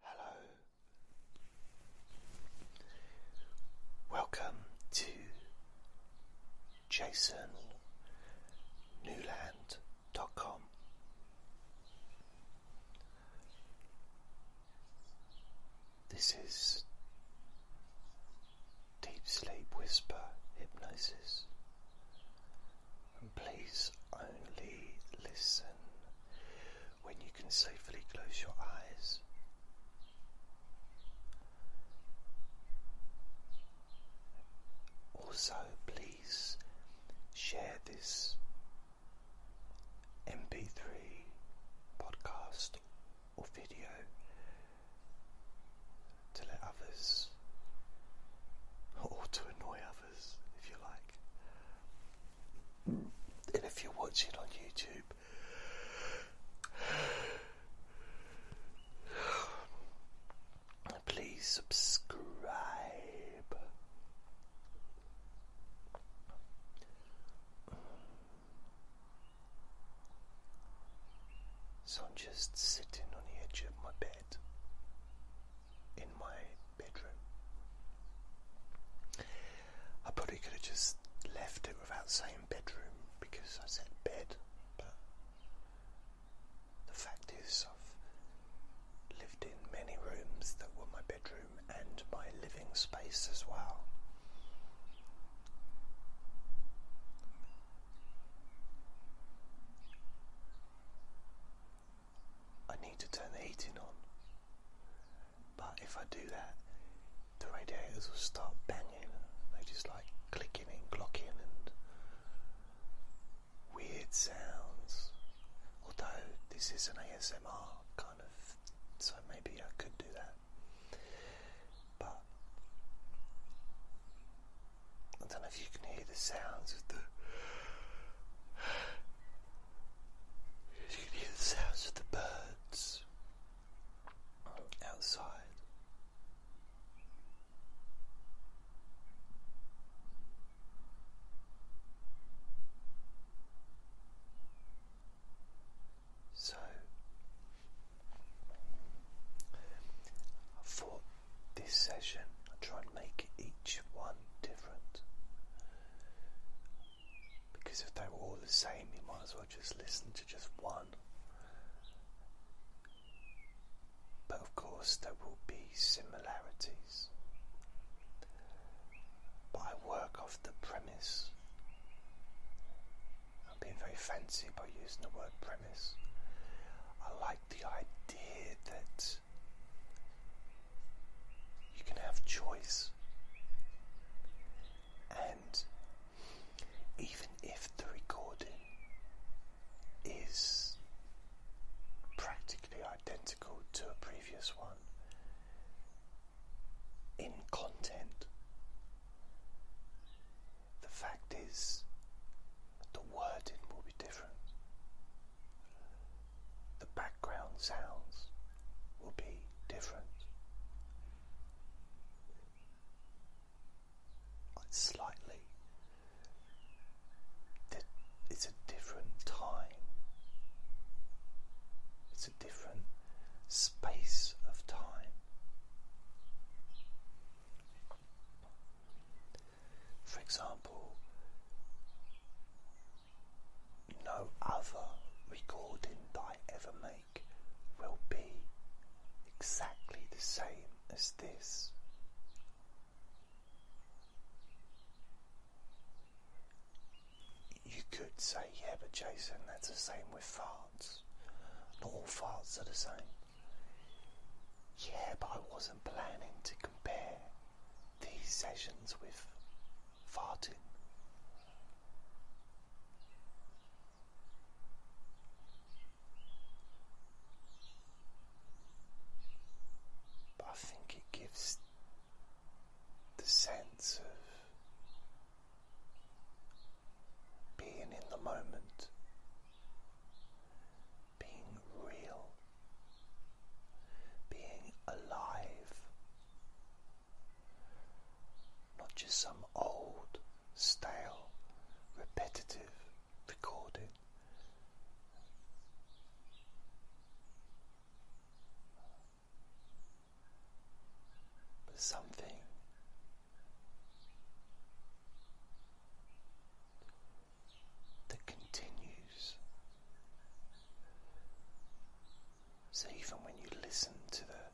Hello. Welcome to jasonnewland.com. This is Deep Sleep Whisper Hypnosis and please only listen when you can safely close your eyes. Also, please share this MP3 podcast or video to let others or to annoy others if you like and if you're watching on YouTube, please subscribe. So I'm just sitting on the edge of my bed in my bedroom. I probably could have just left it without saying bedroom because I said bed, but the fact is, I've lived in many rooms that were my bedroom and my living space as well. I need to turn the heating on. But if I do that, the radiators will start banging. They just like clicking and clocking and weird sounds. Although this is an ASMR kind of, so maybe I could do that. But I don't know if you can hear the sounds of the you can hear the sounds of the birds outside. So I thought this session I'll try and make each one different. Because if they were all the same, you might as well just listen to just one. But of course, there will be similarities. But I work off the premise. I'm being very fancy by using the word premise. I like the idea that you can have choice. And even if the recording is practically identical to a previous one, in content, the fact is the wording will be different the background sounds will be different. Slightly, it's a different time, it's a different space of time. For example, no other recording I ever make will be exactly the same as this. You could say, yeah, but Jason, that's the same with farts. Not all farts are the same. Yeah, but I wasn't planning to compare these sessions with farting. But I think it gives the sense of being in the moment, being real, being alive, not just some old, stale, repetitive recording. But something that continues. So, even when you listen to the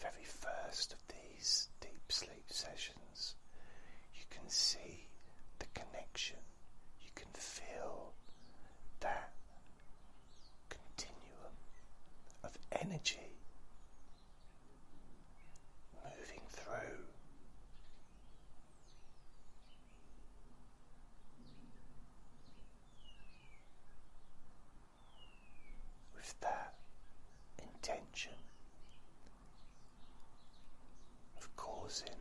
very first of these deep sleep sessions, you can see the connection, you can feel that continuum of energy moving through with that intention of causing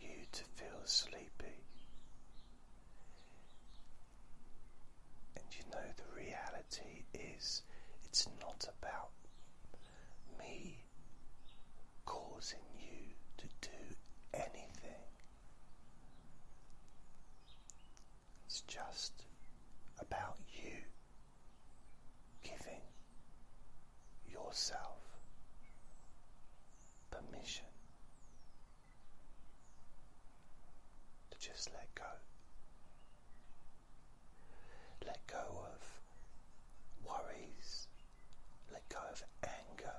you to feel sleepy, and you know the reality is it's not about me causing you to do anything. It's just about you giving yourself permission to just let go let go of worries. Let go of anger.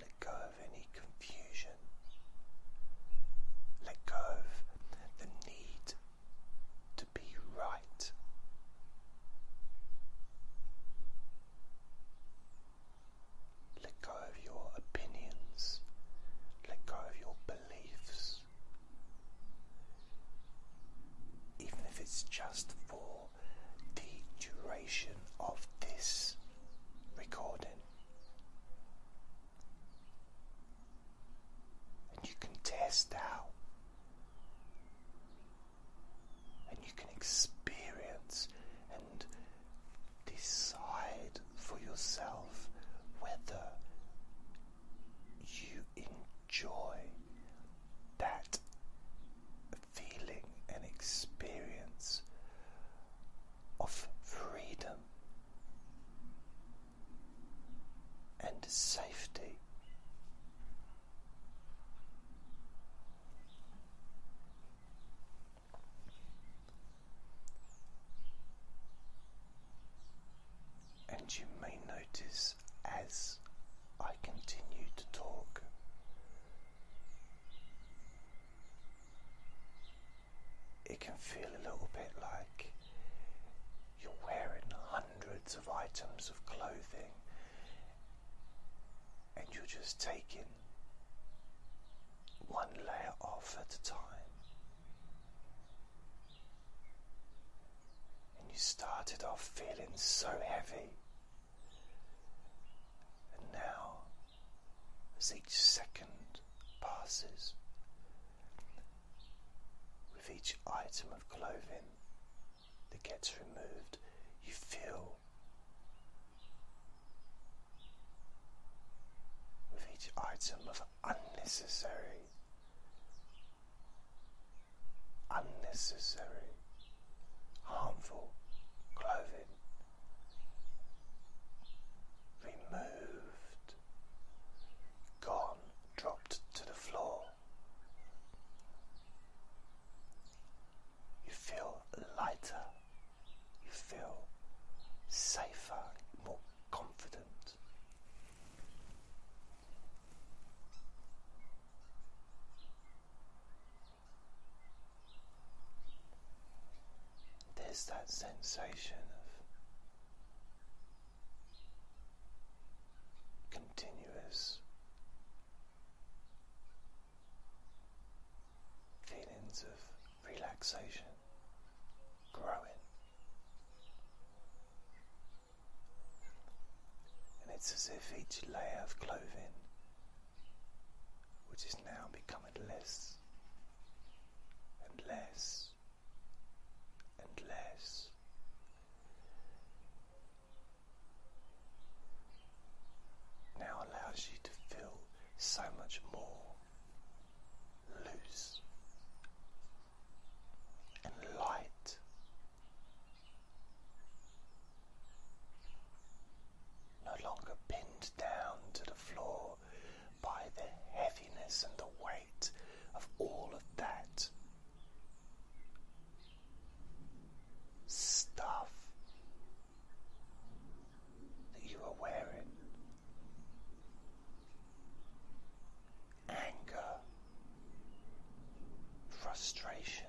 Let go of any confusion. Let go of the need to be right. Let go of your opinions. Let go of your beliefs. Even if it's just for the duration of this recording. And you can test out, and you can experience and decide for yourself whether you enjoy that feeling and experience of freedom and safety. And you may notice as I continue to talk. It can feel a little bit like you're wearing hundreds of items of clothing and you're just taking one layer off at a time. And you started off feeling so heavy. And now, as each second passes, with each item of clothing that gets removed, you feel with each item of unnecessary unnecessary, harmful clothing removed, gone, dropped to the floor. You feel lighter, you feel safer, more confident. There's that sensation of continuous feelings of relaxation growing and it's as if each layer of clothing, which is now becoming less and less and less. Now allows you to feel so much more loose and light. No longer pinned down to the floor by the heaviness and the weight of all of that stuff that you are wearing. Anger frustration.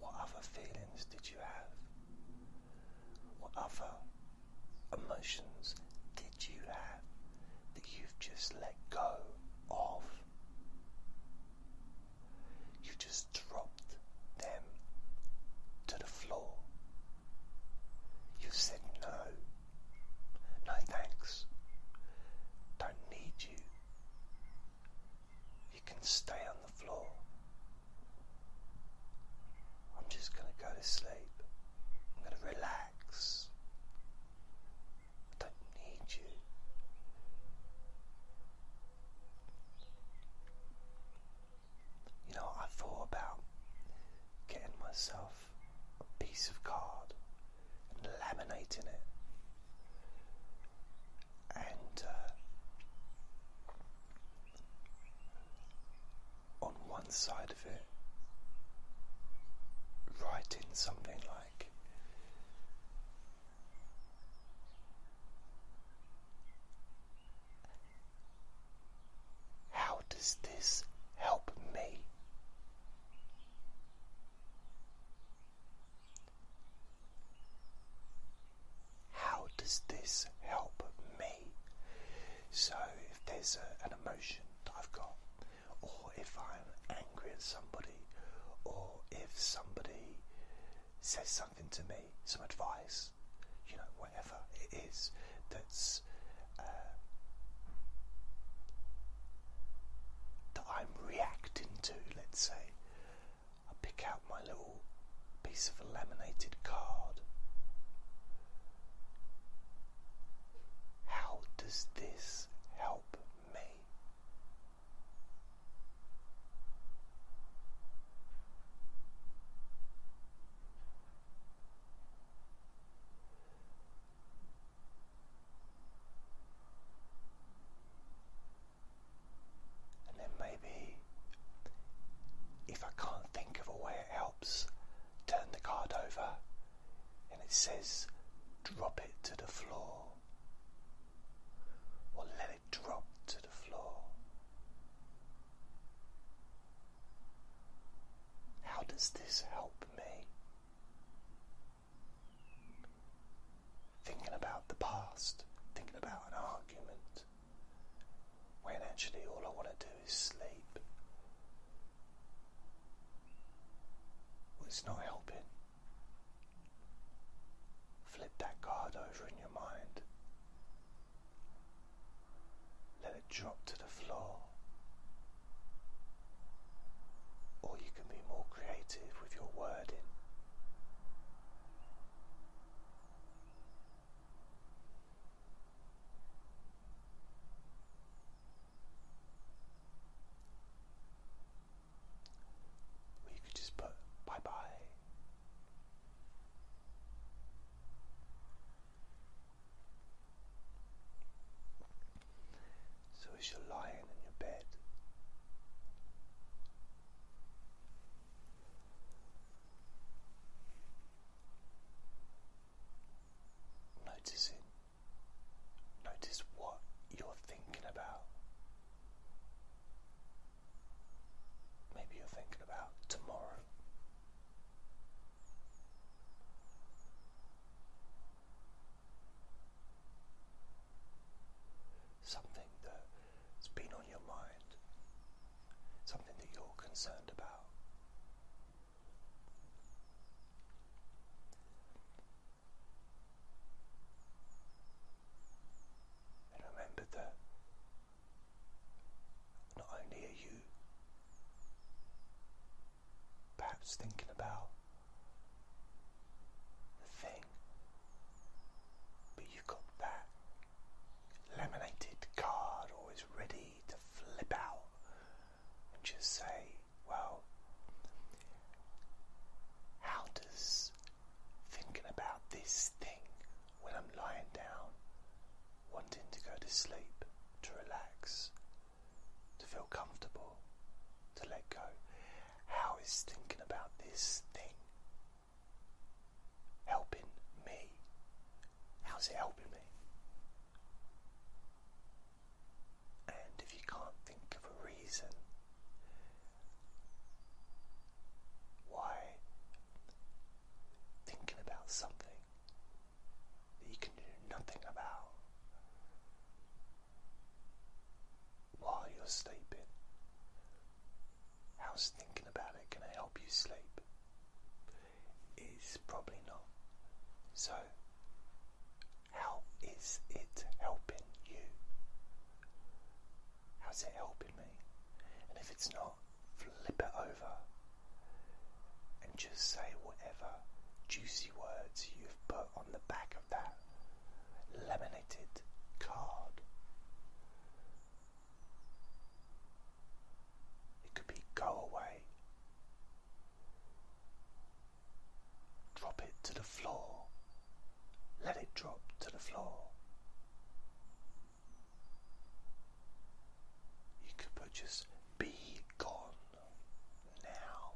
What other feelings did you have? What other emotions did you have that you've just let go of? You just dropped them to the floor. You said no. No thanks. Don't need you. You can stay on the floor. I'm just going to go to sleep. I'm going to relax. I don't need you. You know, I thought about getting myself a piece of card and laminating it. And uh, on one side of it, writing something like how does this help me? How does this help me? So, if there's an emotion I've got, or if I'm angry at somebody, or if somebody says something to me, some advice, you know, whatever it is that's uh, that I'm reacting to, let's say, I pick out my little piece of a laminated card. How does this help me? And then maybe if I can't think of a way it helps, turn the card over and it says drop it to the floor or let dropped to the floor. How does this help me? Thinking about the past, thinking about an argument, when actually all I want to do is sleep. it's not helping. Flip that card over in your mind. Let it drop to the floor. Or you can be more creative with your wording you could just put bye bye. So, as you're lying in your bed, noticing, notice what you're thinking about. Maybe you're thinking about tomorrow. Something that's been on your mind, something that you're concerned about. And remember that not only are you perhaps thinking about the thing, but you've got that laminated card always ready to flip out and just say, well, how does thinking about this thing when I'm lying down, wanting to go to sleep, to relax, to feel comfortable, to let go. How is thinking about this thing helping me? How's it helping me? And if you can't think of a reason, why thinking about something that you can do nothing about while you're sleeping, how's thinking about it going to help you sleep? It's probably not. So, how is it helping you? How's it helping me? And if it's not, flip it over and just say whatever juicy words you've put on the back of that laminated card. It could be go away, drop it to the floor. Let it drop to the floor. You could put just be gone now.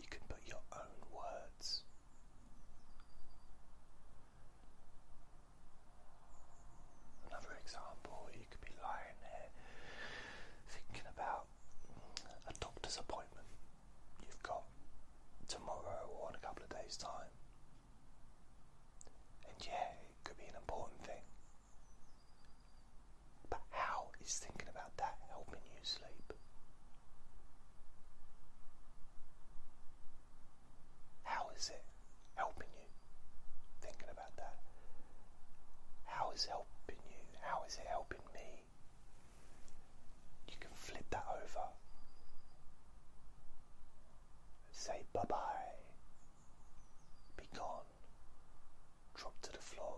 You can put your own words. Another example, you could be lying there thinking about a doctor's appointment you've got tomorrow or in a couple of days' time. And yeah, it could be an important thing. But how is thinking about that helping you sleep? How is it helping you thinking about that? How is helping you? How is it helping? me. You can flip that over. Say bye bye. Be Drop to the floor.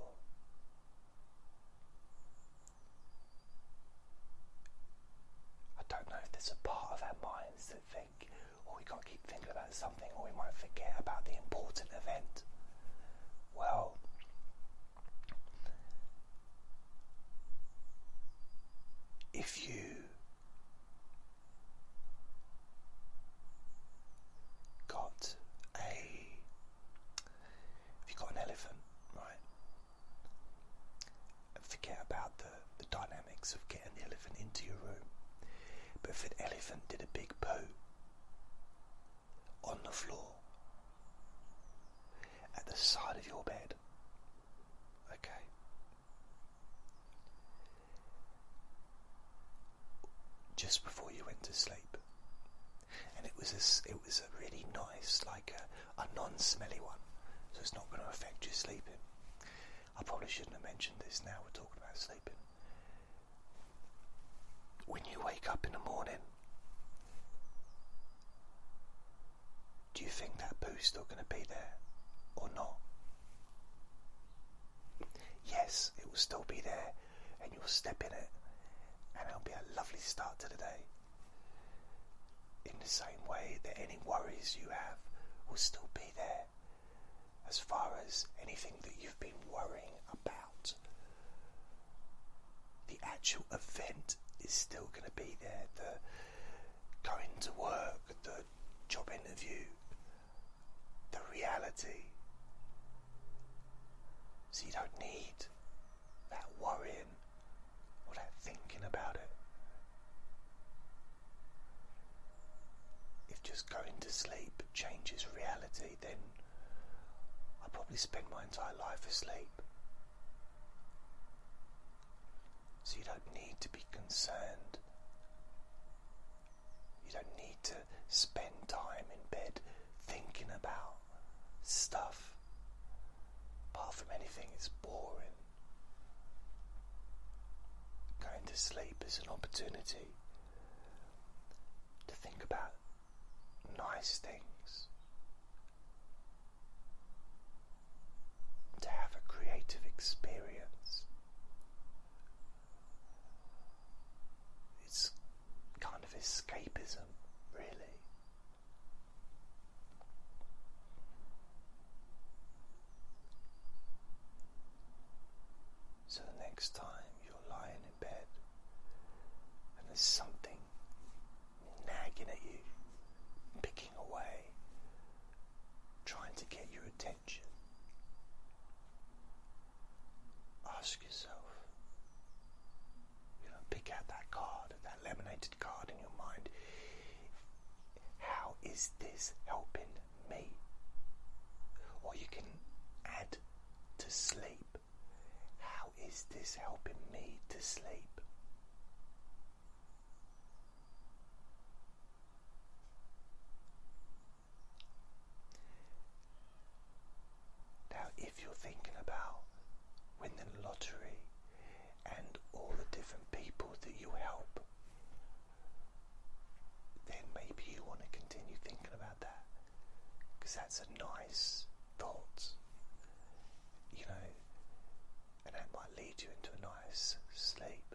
I don't know if there's a part of our minds that think, or oh, we can't keep thinking about something, or we might forget about the important event well. If you got a if you got an elephant, right? forget about the, the dynamics of getting the elephant into your room. But if an elephant did a big poo on the floor at the side of your bed. Okay. Just before you went to sleep, and it was a, it was a really nice, like a, non-smelly one, so it's not going to affect your sleeping. I probably shouldn't have mentioned this now. We're talking about sleeping, when you wake up in the morning, do you think that poo's still going to be there or not? Yes, it will still be there, and you'll step in it, and it'll be a lovely start to the day. In the same way that any worries you have will still be there, as far as anything that you've been worrying about the actual event is still going to be there. The going to work, the job interview, the reality. So you don't need that worrying or that thinking about it. If just going to sleep changes reality, then I probably spend my entire life asleep. So you don't need to be concerned. You don't need to spend time in bed thinking about stuff. Apart from anything, it's boring. Going to sleep is an opportunity to think about nice things, to have a creative experience. It's kind of escapism, really. So next time you're lying in bed, and there's something nagging at you, picking away, trying to get your attention. Ask yourself, you know, pick out that card, that laminated card in your mind. How is this helping me? Or you can add to sleep. How is this helping me to sleep? Now, if you're thinking about winning the lottery and all the different people that you help, then maybe you want to continue thinking about because that's a nice thought, you know, and that might lead you into a nice sleep.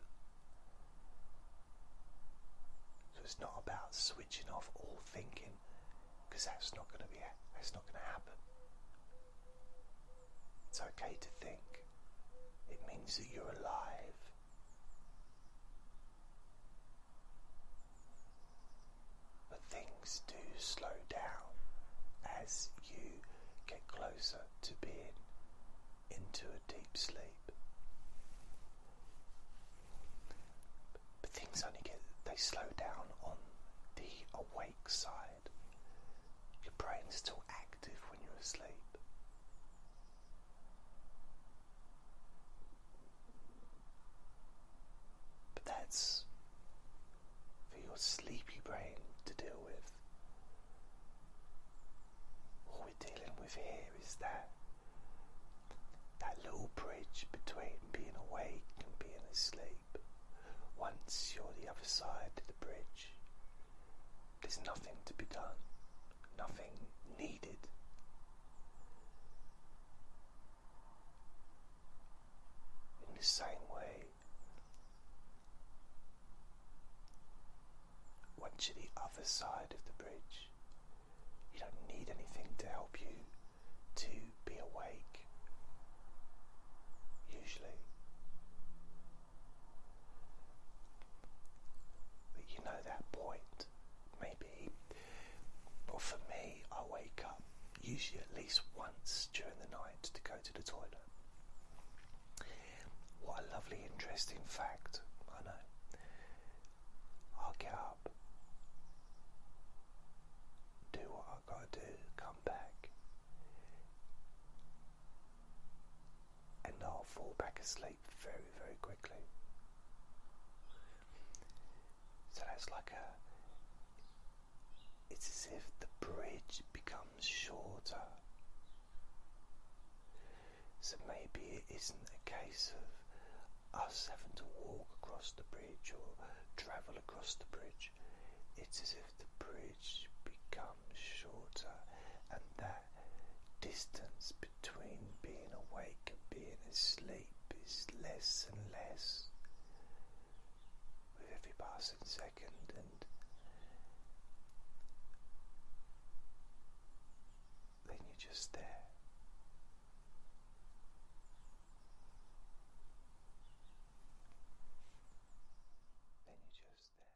So it's not about switching off all thinking because that's not going to be that's not going to happen. It's okay to think. It means that you're alive. But things do slow down as you get closer to being into a deep sleep. But things only get, they slow down on the awake side. Your brain's still active when you're asleep. But that's for your sleepy brain to deal with. All we're dealing with here is that that little bridge between being awake and being asleep. Once you're the other side of the bridge, there's nothing to be done, nothing needed in the same way, once you're the other side of the bridge, you don't need anything to help you to be awake, usually. But you know that point may be. for me, I wake up usually at least once during the night to go to the toilet. What a lovely, interesting fact, I know. i get up, do what i got to do, come back, and I'll fall back asleep very, very quickly. So that's like a. It's as if the bridge becomes shorter. So maybe it isn't a case of us having to walk across the bridge or travel across the bridge. It's as if the bridge becomes shorter and that distance between being awake and being asleep is less and less with every passing second, and then you're just there. Then you're just there.